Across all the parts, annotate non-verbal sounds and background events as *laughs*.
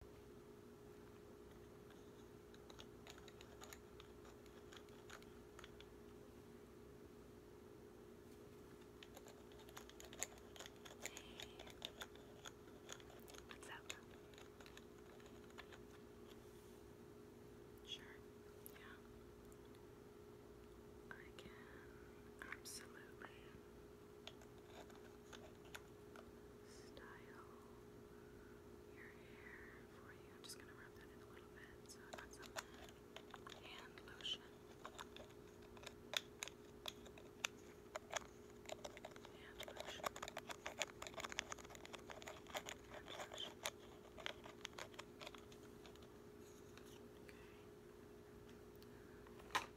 What's up? Sure. Yeah. I can absolutely style your hair for you. I'm just going to rub that in a little bit. So I got some hand lotion. Hand lotion. Hand lotion. Okay.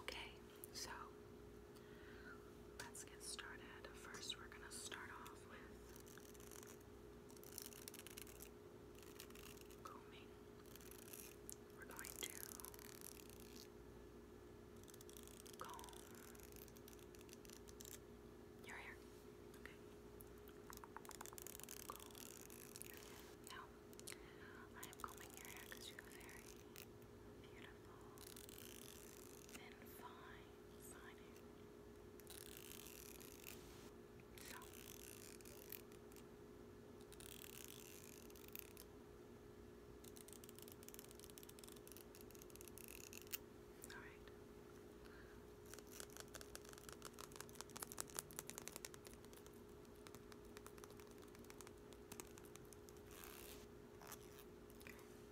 Okay, so let's get started. First, we're going to start off with combing we're going to comb your hair. Now, I am combing your hair because you have very beautiful, thin, fine, fine hair. All right. Okay,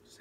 so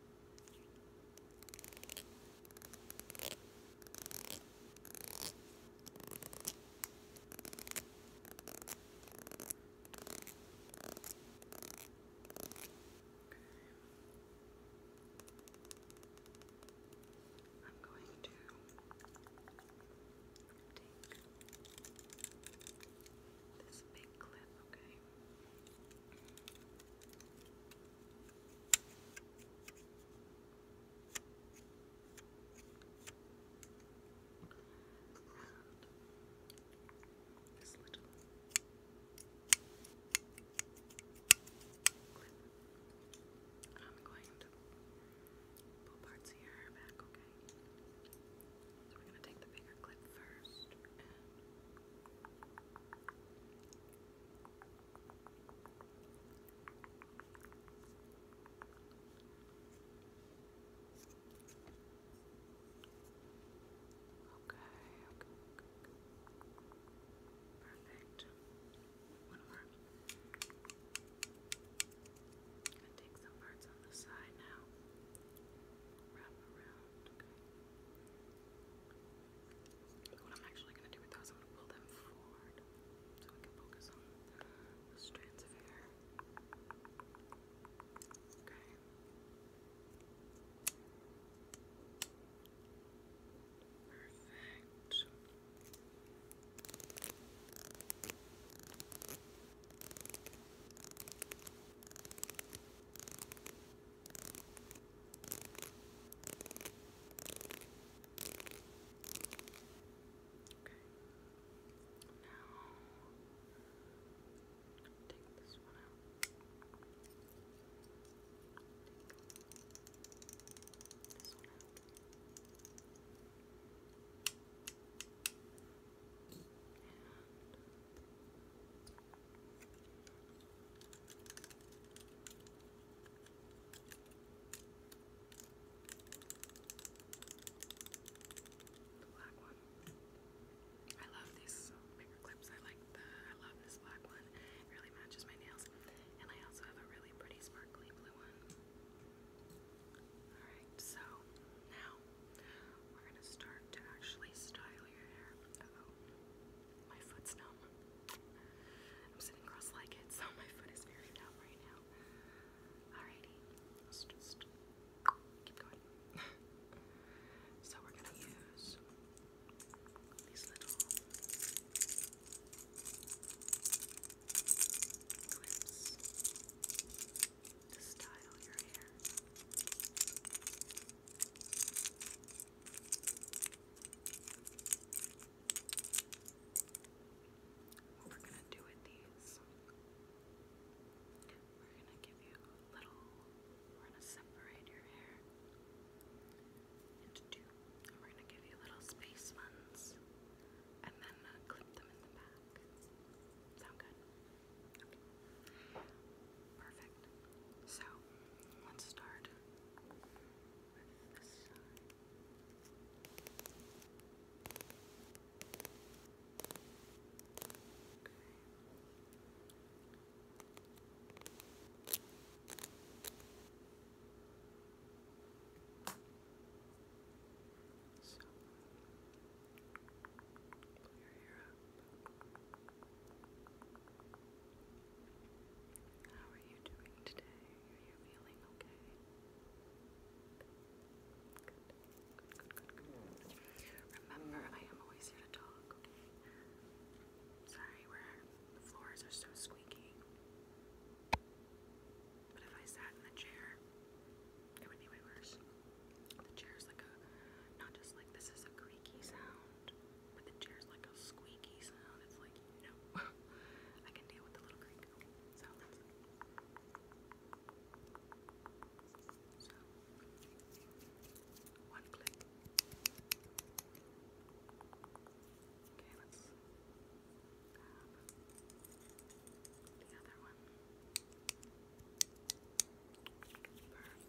I'm going to take this big clip, okay? And this I'm going to pull parts of your hair back, okay? So we're gonna take the bigger clip first okay, okay. Perfect. One more. Gonna take some parts on the side now. Wrap around, okay. What I'm actually going to do with those, I'm going to pull them forward so we can focus on the strands of hair. Okay. Perfect take this one out. this one out. The black one. I love these paper clips. I like the I love this black one. really matches my nails. And I also have a really pretty sparkly blue one. Alright, so now we're gonna start to actually style your hair. Uh my foot's numb. I'm sitting cross-legged, so my foot is very numb right now. Alrighty, let's just keep going. *laughs* so we're gonna use these little clips to style your hair. What we're gonna do with these, we're gonna give you a little, we're gonna separate your hair into two. And we're gonna give you little space ones and then uh, clip them in the back. Sound good? Perfect. So let's start with the So, pull your hair up. How are you doing today? Are you feeling okay? Remember, I am always here to talk, Sorry, the floors are so squeaky. But if I sat in the chair, it would be way worse. The chair's like a, not just like this is a creaky sound, but the chair's like a squeaky sound. It's like, you know, *laughs* I can deal with the little creak sounds. So, one click. Okay, let's grab the other one.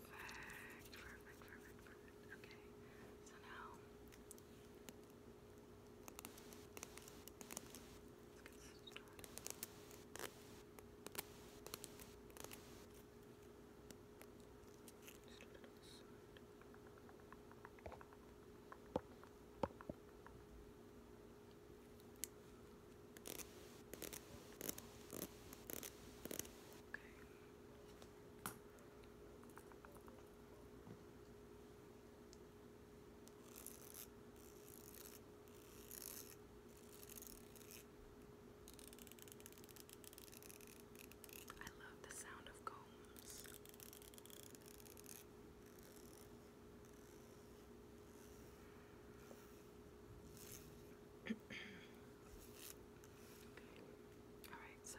Perfect, perfect, perfect, perfect. Okay, so now let's get started. Just a little side. Okay. Okay. I love the sound of combs. *clears throat* Alright, so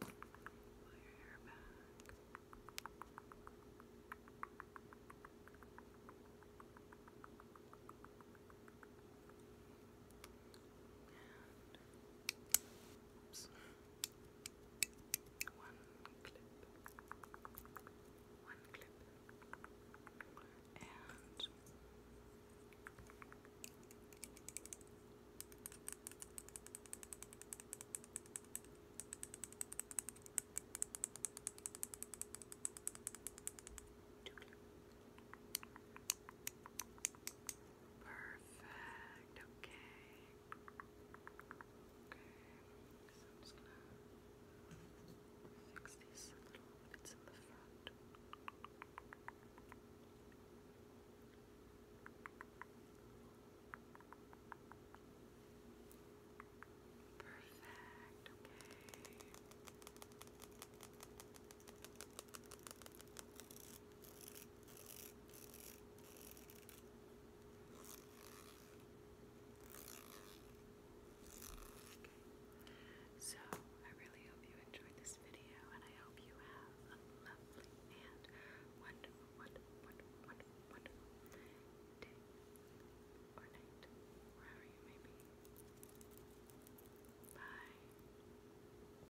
Pull your hair back. And oops. One clip. One clip. And Two clip. Perfect. Okay. Okay. So I'm just gonna fix these little bits in the front. Perfect. Okay. So, I really hope you enjoyed this video, and I hope you have a lovely and wonderful, wonderful, wonderful, wonderful, day or night, wherever you may be. Bye.